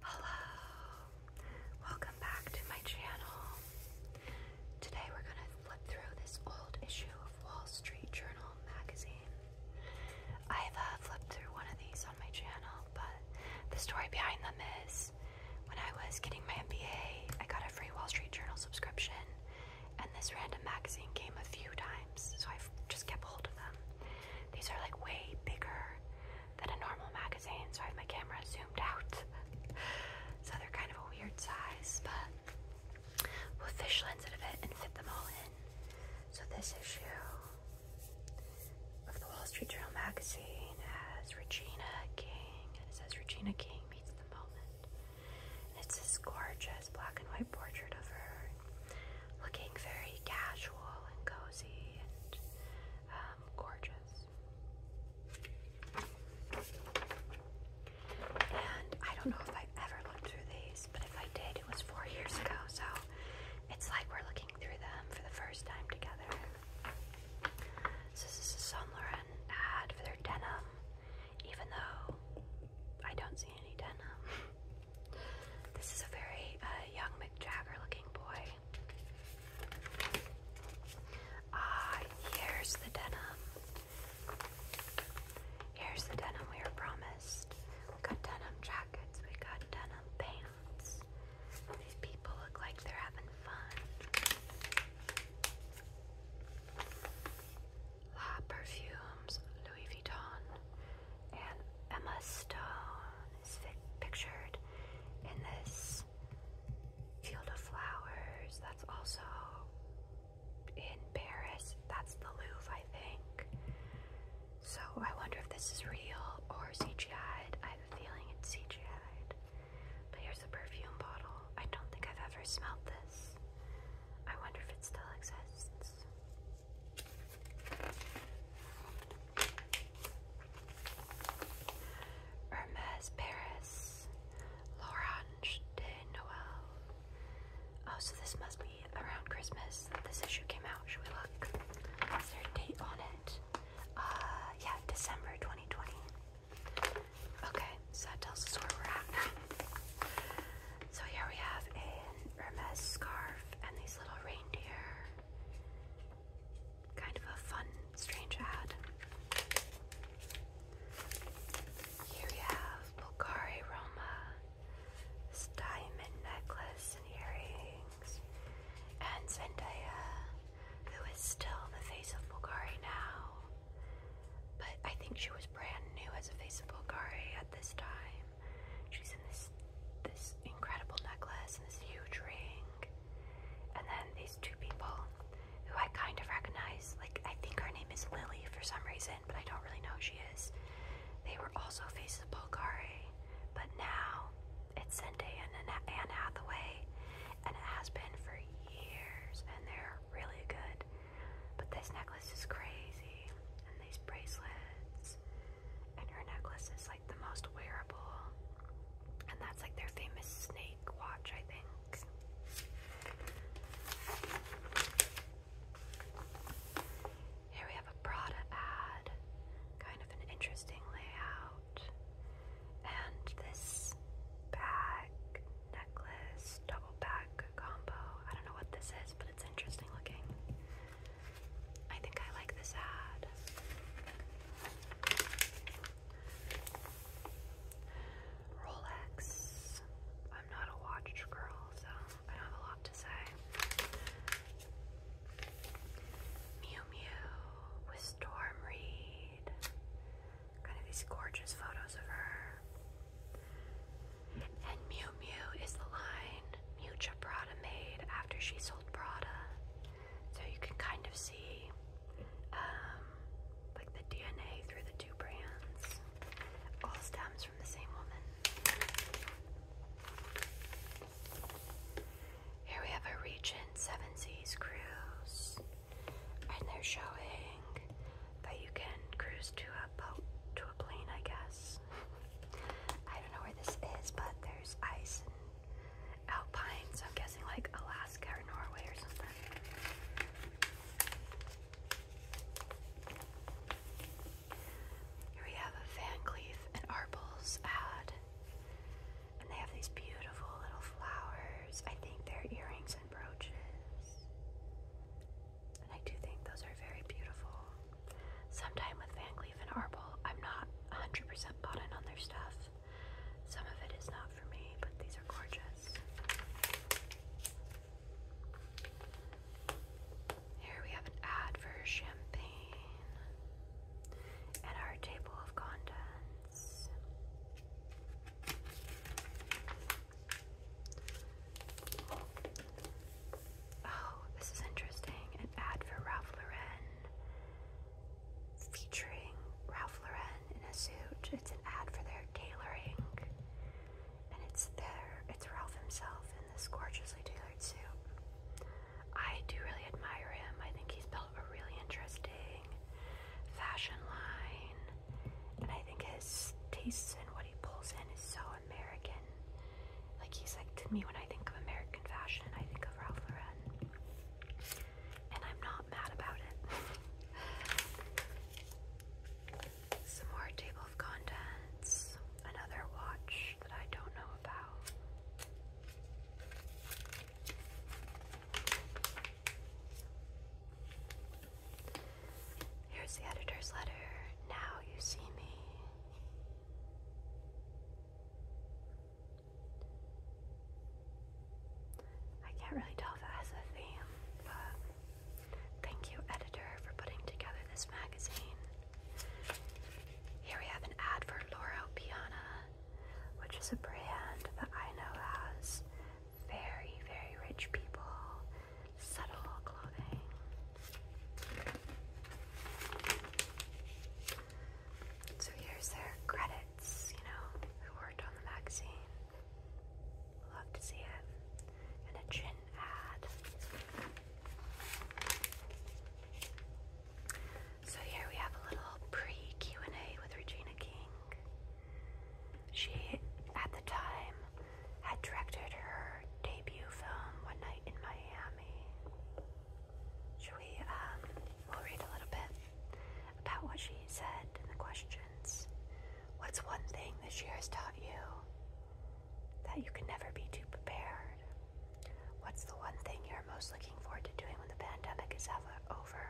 Hello, welcome back to my channel. Today we're going to flip through this old issue of Wall Street Journal magazine. I've uh, flipped through one of these on my channel, but the story behind them is when I was getting my MBA, I got a free Wall Street Journal subscription, and this random magazine came a few times, so i just kept hold of them. These are like way bigger than a normal magazine, so I have my camera zoomed out. so they're kind of a weird size, but we fish lens out it and fit them all in. So this issue of the Wall Street Journal magazine has Regina King, it says Regina King meets the moment. it's this gorgeous black and white portrait of her, looking very casual and cozy and um, gorgeous. And I don't know if I ever looked through these, but if I did, it was four years ago, so it's like we're looking through them for the first time together. So this is a Saint Laurent ad for their denim, even though I don't see any denim. this is a very uh, young Mick Jagger looking boy. Ah, here's the denim. Here's the denim we were promised. We got denim jackets, we got denim pants. These people look like they're having fun. La Perfumes, Louis Vuitton, and Emma Stone pictured in this field of flowers that's also in Paris. That's the Louvre, I think. So I wonder if this is real or CGI'd. I have a feeling it's CGI'd. But here's a perfume bottle. I don't think I've ever smelled this. I wonder if it still exists. Hermes Paris, L'Orange de Noël. Oh, so this must be around Christmas this issue came out. Should we look? Is there a date on it? Uh, yeah, December 2020. Okay, so that tells us where we're at now. So here we have a Hermes scarf and these little reindeer Kind of a fun, strange ad. Here we have Bulgari Roma, this diamond necklace and earrings, and Zendaya, who is still the face of Bulgari now, but I think she was brand new as a face of Bulgari at this time she's in this this incredible necklace and this huge ring. And then these two people who I kind of recognize, like I think her name is Lily for some reason, but I don't really know who she is. They were also faces of Bulgari, but now it's Sende and Anne Hathaway, and it has been for years, and they're really good. But this necklace is crazy, and these bracelets, and her necklace is like the most wearable. And that's like their famous snake watch, I think. Here we have a Prada ad, kind of an interesting layout. And this bag, necklace, double bag combo. I don't know what this is, but it's interesting looking. I think I like this ad. Rolex. I'm not a watch girl, so I don't have a lot to say. Mew Mew with Storm Reed. Kind of these gorgeous photos of her. And Mew Mew is the line Mucha Prada made after she sold Prada. So you can kind of see um, like the DNA through the two brands. All stems from the same woman. Here we have a Regent Seven Seas cruise. And they're showing that you can cruise to a boat, to a plane, I guess. I don't know where this is, but there's ice and alpine, so I'm guessing like Alaska or Norway or something. Here we have a Van Cleef and Arpels ad, and they have these beautiful little flowers. I think they're earrings and brooches. And I do think those are very beautiful. Sometime with Van Cleef and Arble, I'm not 100% bought on their stuff. Some of it is not for me, but these are gorgeous. Here we have an ad for champagne and our table of contents. Oh, this is interesting. An ad for Ralph Lauren featuring Ralph Lauren in a suit. It's an ad for their tailoring. And it's there. it's Ralph himself in this gorgeously tailored suit. I do really admire him. I think he's built a really interesting fashion line. And I think his tastes and what he pulls in is so American like he's like to me when I think of American fashion, I think of Ralph Lauren, and I'm not mad about it. Some more table of contents. Another watch that I don't know about. Here's the editor's letter. Now you see me. I can't really tell if it has a theme, but thank you, editor, for putting together this magazine. Here we have an ad for Laura Piana, which is a brand that I know has very, very rich people subtle clothing. So here's their credits, you know, who worked on the magazine. Love to see it. And a gin ad. So here we have a little pre-Q&A with Regina King. She, at the time, had directed her debut film, One Night in Miami. Should we, um, we'll read a little bit about what she said and the questions. What's one thing this year has taught you that you can never be too prepared? What's the one thing you're most looking forward to doing when the pandemic is over?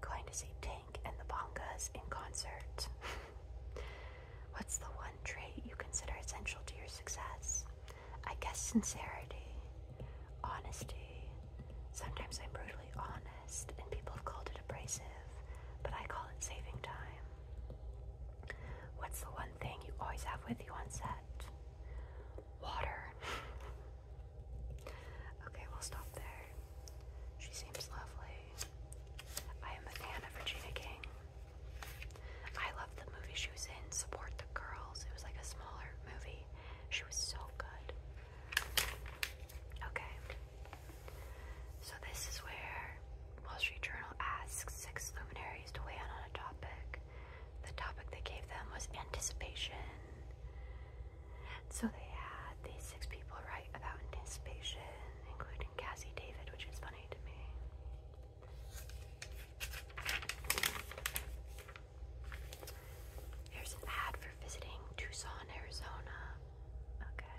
Going to see Tank and the Bongas in concert. What's the one trait you consider essential to your success? I guess sincerity, honesty. Sometimes I'm brutally honest, and people have called it abrasive, but I call it saving time. What's the one thing you always have with you on set? Water. okay, we'll stop there. She seems lovely. I am a fan of Regina King. I love the movie she was in, Support the Girls. It was like a smaller movie. She was so good. Okay. So this is where Wall Street Journal asks six luminaries to weigh in on a topic. The topic they gave them was anticipation. So they had these six people write about anticipation, including Cassie David, which is funny to me. Here's an ad for visiting Tucson, Arizona. Okay.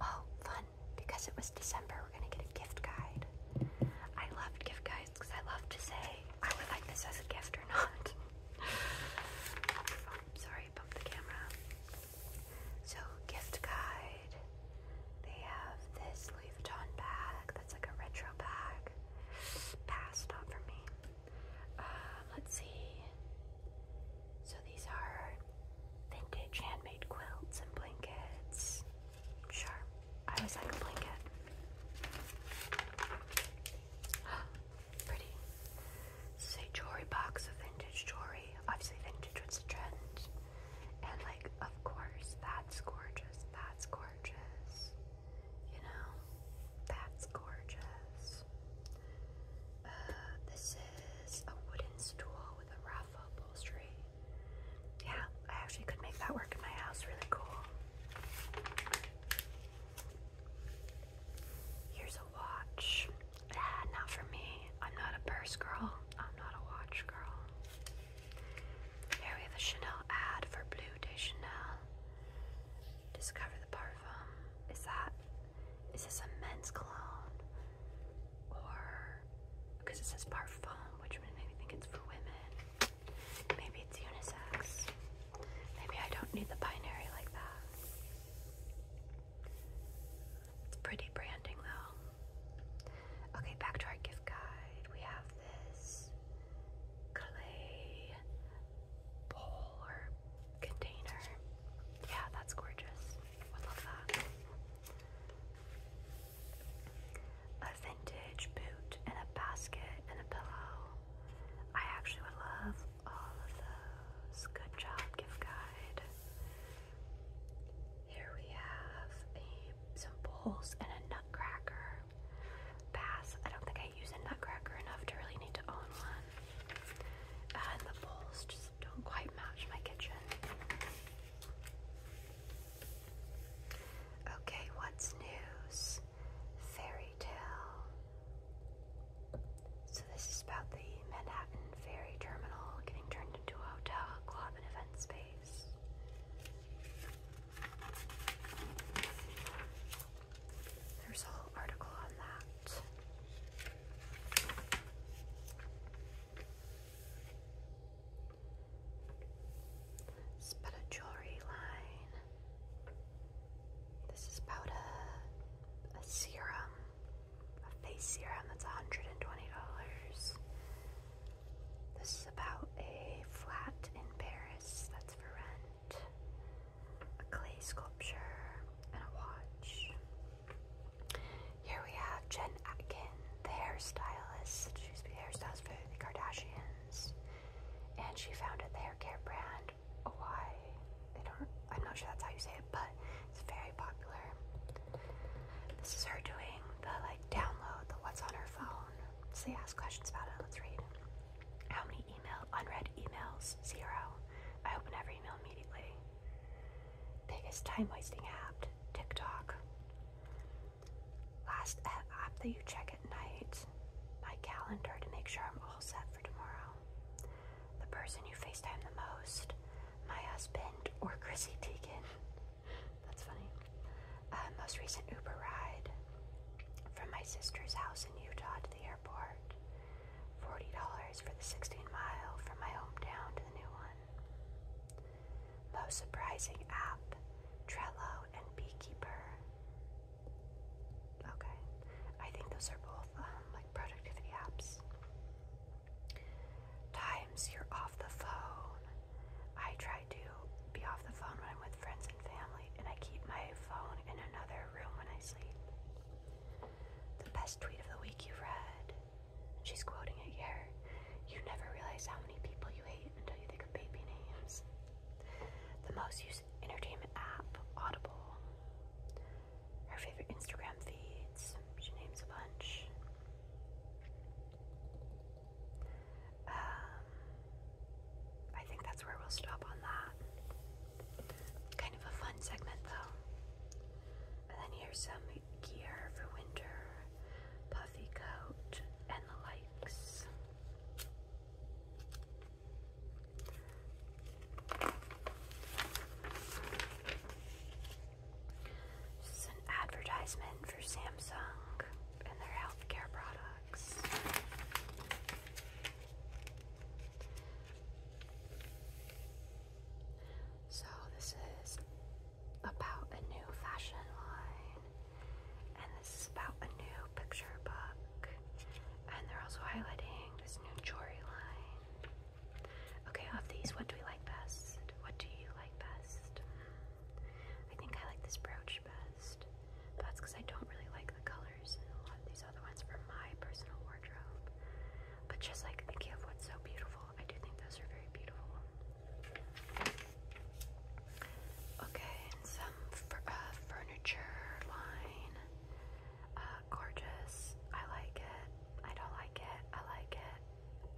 Oh, fun. Because it was December, we're going to get a gift guide. I love gift guides because I love to say I would like this as a gift or not. Oh, sorry, bumped the camera. So, gift guide they have this Louis Vuitton bag that's like a retro bag. Pass, not for me. Um, let's see. So these are vintage handmade quilts and blankets. Sure, I always like a blanket. Pretty. This is jewelry box of vintage jewelry. Obviously, vintage was the trend. And, like, of course, that's gorgeous. That's gorgeous. You know, that's gorgeous. Uh, this is a wooden stool with a ruff upholstery. Yeah, I actually could make that work in my house. Really cool. Here's a watch. Ah, not for me. I'm not a purse girl. I'm not a watch girl. Here we have a Chanel ad for Blue de Chanel. Discover the parfum. Is that is this a men's cologne? Or because it says parfum, which would me think it's for women. Maybe it's unisex. Maybe I don't need the binary like that. It's pretty branding though. Okay, back to our gift guide. We have this clay bowl or container. Yeah, that's gorgeous. I love that. A vintage boot and a basket and a pillow. I actually would love all of those. Good job, gift guide. Here we have some bowls and a nutcracker. Pass. I don't think I use a nutcracker enough to really need to own one. And the bowls just don't quite match my kitchen. Okay, what's news? Fairy tale. So this is about the Manhattan ferry terminal getting turned into a hotel, club, and event space. There's a whole article on that. It's about a jewelry line. This is about a, a serum, a face serum that's $120. This is about a flat in Paris that's for rent, a clay sculpture, and a watch. Here we have Jen Atkin, the hairstylist. She used to hairstylist for the Kardashians, and she founded the hair care brand Why I'm not sure that's how you say it, but it's very popular. This is her doing the like download, the what's on her phone. So they ask questions about it. Let's read. How many email unread emails? Zero. I open every email immediately. Biggest time wasting app? TikTok. Last app that you check at night? My calendar to make sure I'm all set for tomorrow. The person you FaceTime the most? My husband or Chrissy Teigen? That's funny. Uh, most recent Uber ride from my sister's house in Utah to the airport. $40 for the 16 mile from my hometown to the new one. Most surprising app Trello and Beekeeper. Okay. I think those are both um, like productivity apps times you're off the phone. I try to be off the phone when I'm with friends and family, and I keep my phone in another room when I sleep. The best tweet of the week you have read. She's quoting it here. You never realize how many people you hate until you think of baby names. The most used entertainment app, Audible. Her favorite Instagram feeds. She names a bunch. Um, I think that's where we'll stop on that. Kind of a fun segment though. And then here's some gear for winter, puffy coat, and the likes. This is an advertisement for Samsung and their healthcare products. So, this is about a new fashion line, and this is about a new picture book, and they're also highlighting this new jewelry line. Okay, of these, what do we like best? What do you like best? I think I like this brooch best, but that's because I don't really like the colors in a lot of these other ones for my personal wardrobe. But just like thinking of what's so beautiful, I do think those are very beautiful. Okay, and some uh, furniture line. Uh, gorgeous. I like it. I don't like it. I like it.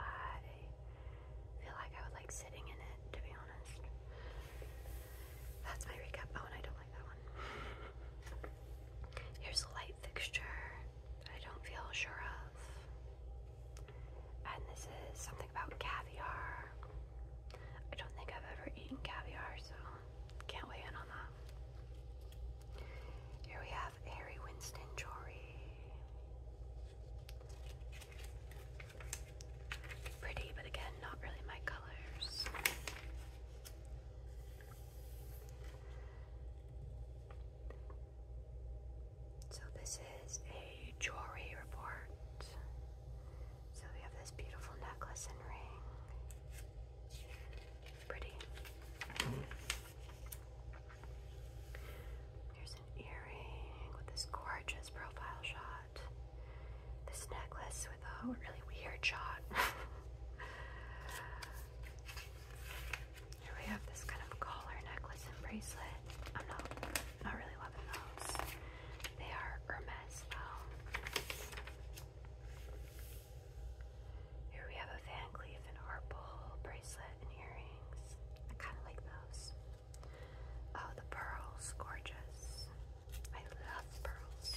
I feel like I would like sitting in it, to be honest. That's my recap. Oh, and I don't like that one. Here's a light fixture I don't feel sure of. And this is something about caviar. I don't think I've ever eaten caviar, so can't weigh in on that. Here we have Harry Winston Jory. Pretty, but again, not really my colors. So, this is a jewelry report. So, we have this beautiful necklace and ring. Pretty. Here's an earring with this gorgeous profile shot. This necklace with a really weird shot. Here we have this kind of collar necklace and bracelet. I'm not not really loving those. They are Hermes Here we have a Van Cleef and Arpel bracelet and earrings. I kind of like those. Oh, the pearls, gorgeous. I love pearls.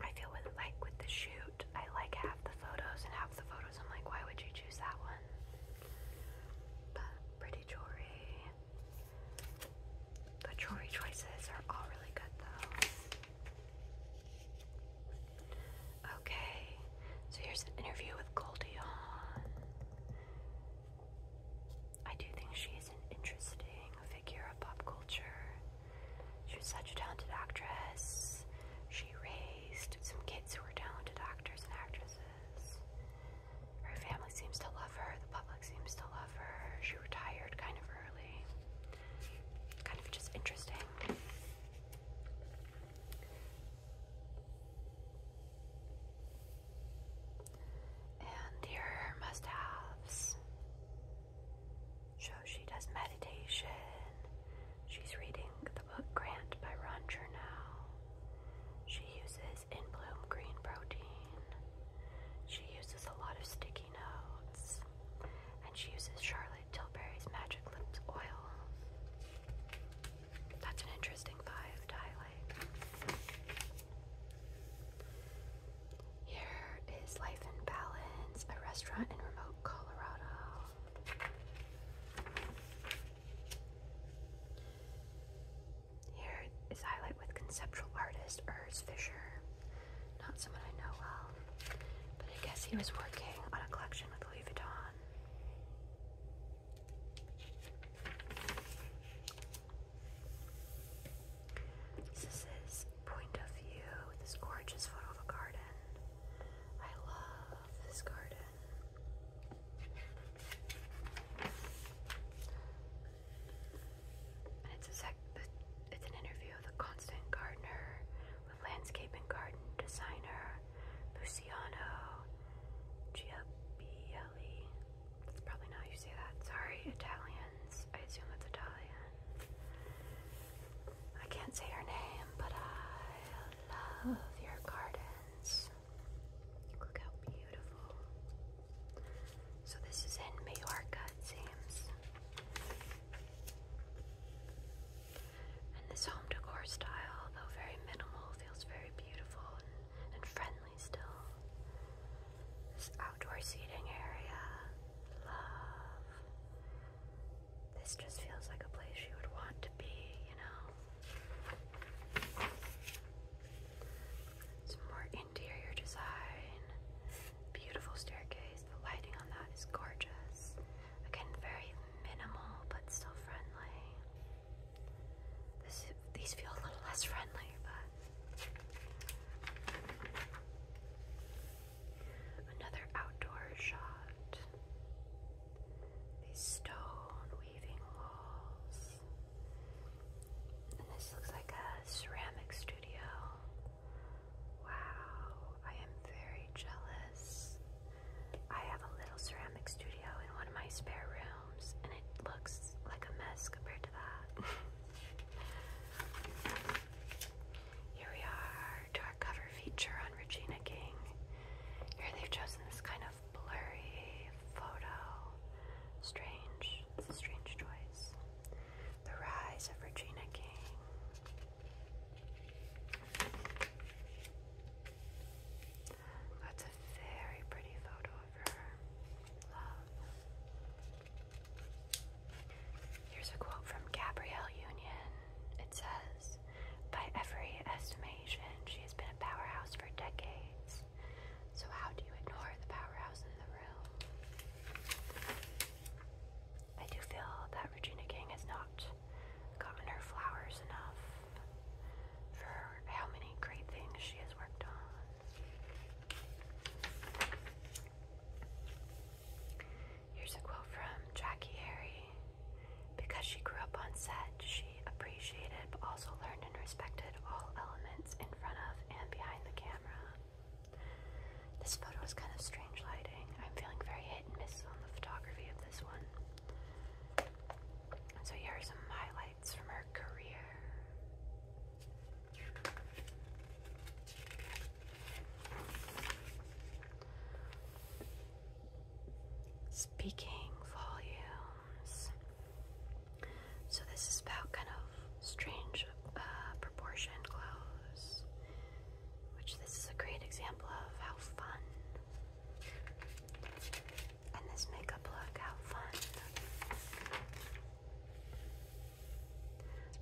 I feel like with the shoot, I like half the photos and half the photos. I'm like, why would you choose that one? But pretty jewelry. The jewelry choices are all really good though. Okay, so here's an interview with Goldie Hawn. I do think she's an interesting figure of pop culture. She was such a talented actress. She raised some kids who were talented actors and actresses. Her family seems to love her, the public seems to love her. She retired kind of early kind of just interesting. And her must haves. So she does meditation. She's reading the book Grant by Ron Chernow. She uses in bloom green protein. She uses a lot of sticky notes. And she uses Charlotte Tilbury's Magic Lips Oil. That's an interesting vibe highlight. Here is Life in Balance, a restaurant in remote Colorado. Here is highlight with conceptual artist Urs Fischer. Not someone I know well, but I guess he was working on a collection with Louis Vuitton. This is point of view, this gorgeous photo of a garden. I love this garden it's a sec it's an interview of the constant gardener with landscape and garden designer Luciano Giabielli. That's probably not you say that. Sorry, Italians. I assume it's Italian. I can't say her name, but I love your gardens. Look beautiful. So this is in Majorca, it seems. And this home decor style, though very minimal, feels very beautiful and, friendly still. This outdoor seating area, love. This just feels like a place you would want to be, you know. Some more interior design. Beautiful staircase. The lighting on that is gorgeous. Again, very minimal but still friendly. these feel a little less friendly, but. Another outdoor shot. These stone weaving walls. And this looks like a ceramic studio. Wow, I am very jealous. I have a little ceramic studio in one of my spare rooms, and it looks like a mess compared to that. Here we are to our cover feature on Regina King. Here they've chosen this kind of blurry photo. Strange. It's a strange choice. The Rise of Regina King. That's a very pretty photo of her. Love. Here's a quote from Gabrielle Union. It says, By every estimation, she has been a powerhouse for decades. So, how do you ignore the powerhouse in the room? I do feel that Regina King has not gotten her flowers enough for how many great things she has worked on. Here's a quote from Jackie Harry. Because she grew up on set, she appreciated but also learned and respected all elements in front of and behind the camera. This photo is kind of strange lighting. I'm feeling very hit and miss on the photography of this one. so here are some highlights from her career. Speaking volumes. So this is about kind of strange uh, proportion clothes, which this is a great example of how fun. And this makeup look, how fun.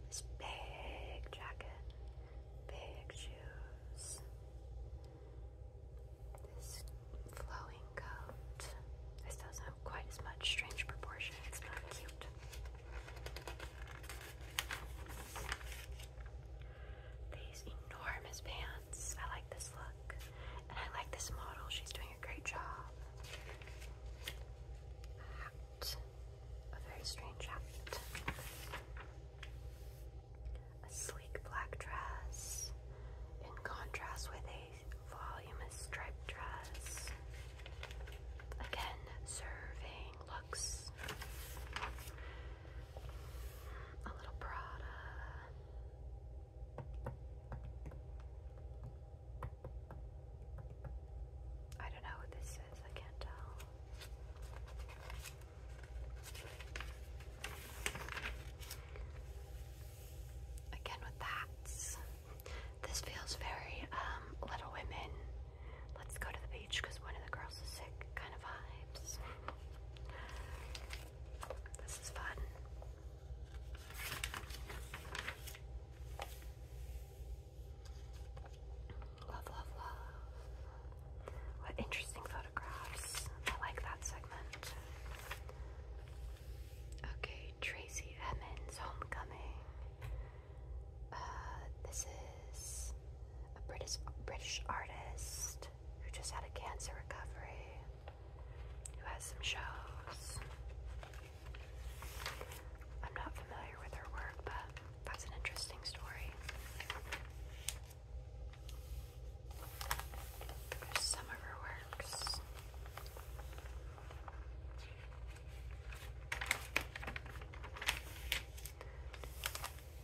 This big jacket, big shoes, this flowing coat. This doesn't have quite as much strange proportions, but cute. These enormous pants. I like this look. And I like this model. She's doing a great job. A very strange hat. A sleek black dress in contrast with a voluminous striped dress. Again, serving looks. A little Prada. I don't know what this is, I can't tell. Again, with that, this feels very um, Little Women. Let's go to the beach because one of the girls is sick. Kind of vibes. This is fun. Love, love, love. What interesting photographs. I like that segment. Okay, Tracy Emmons Homecoming. Uh, this is a British British artist who just had a cancer recovery, who has some shows. I'm not familiar with her work, but that's an interesting story. There's some of her works.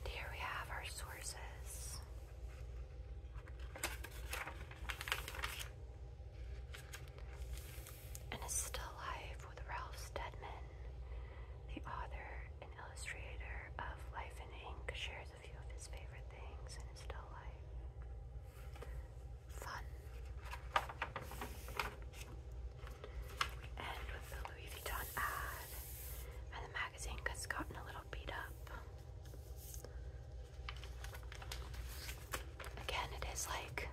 Here we have our sources. And a still life with Ralph Steadman, the author and illustrator of Life in Ink, shares a few of his favorite things in his still life fun. We end with the Louis Vuitton ad, and the magazine has gotten a little beat up. Again, it is like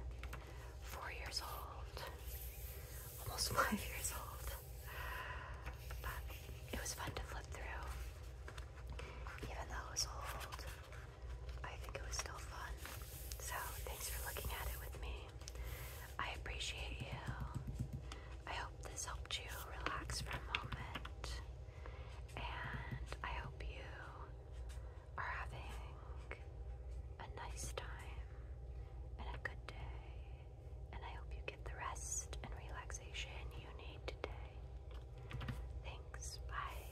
four years old, almost five years old, but it was fun to flip through, even though it was old. I think it was still fun. So, thanks for looking at it with me. I appreciate you. I hope this helped you relax for a moment. And I hope you are having a nice time and a good day. And I hope you get the rest and relaxation you need today. Thanks. Bye.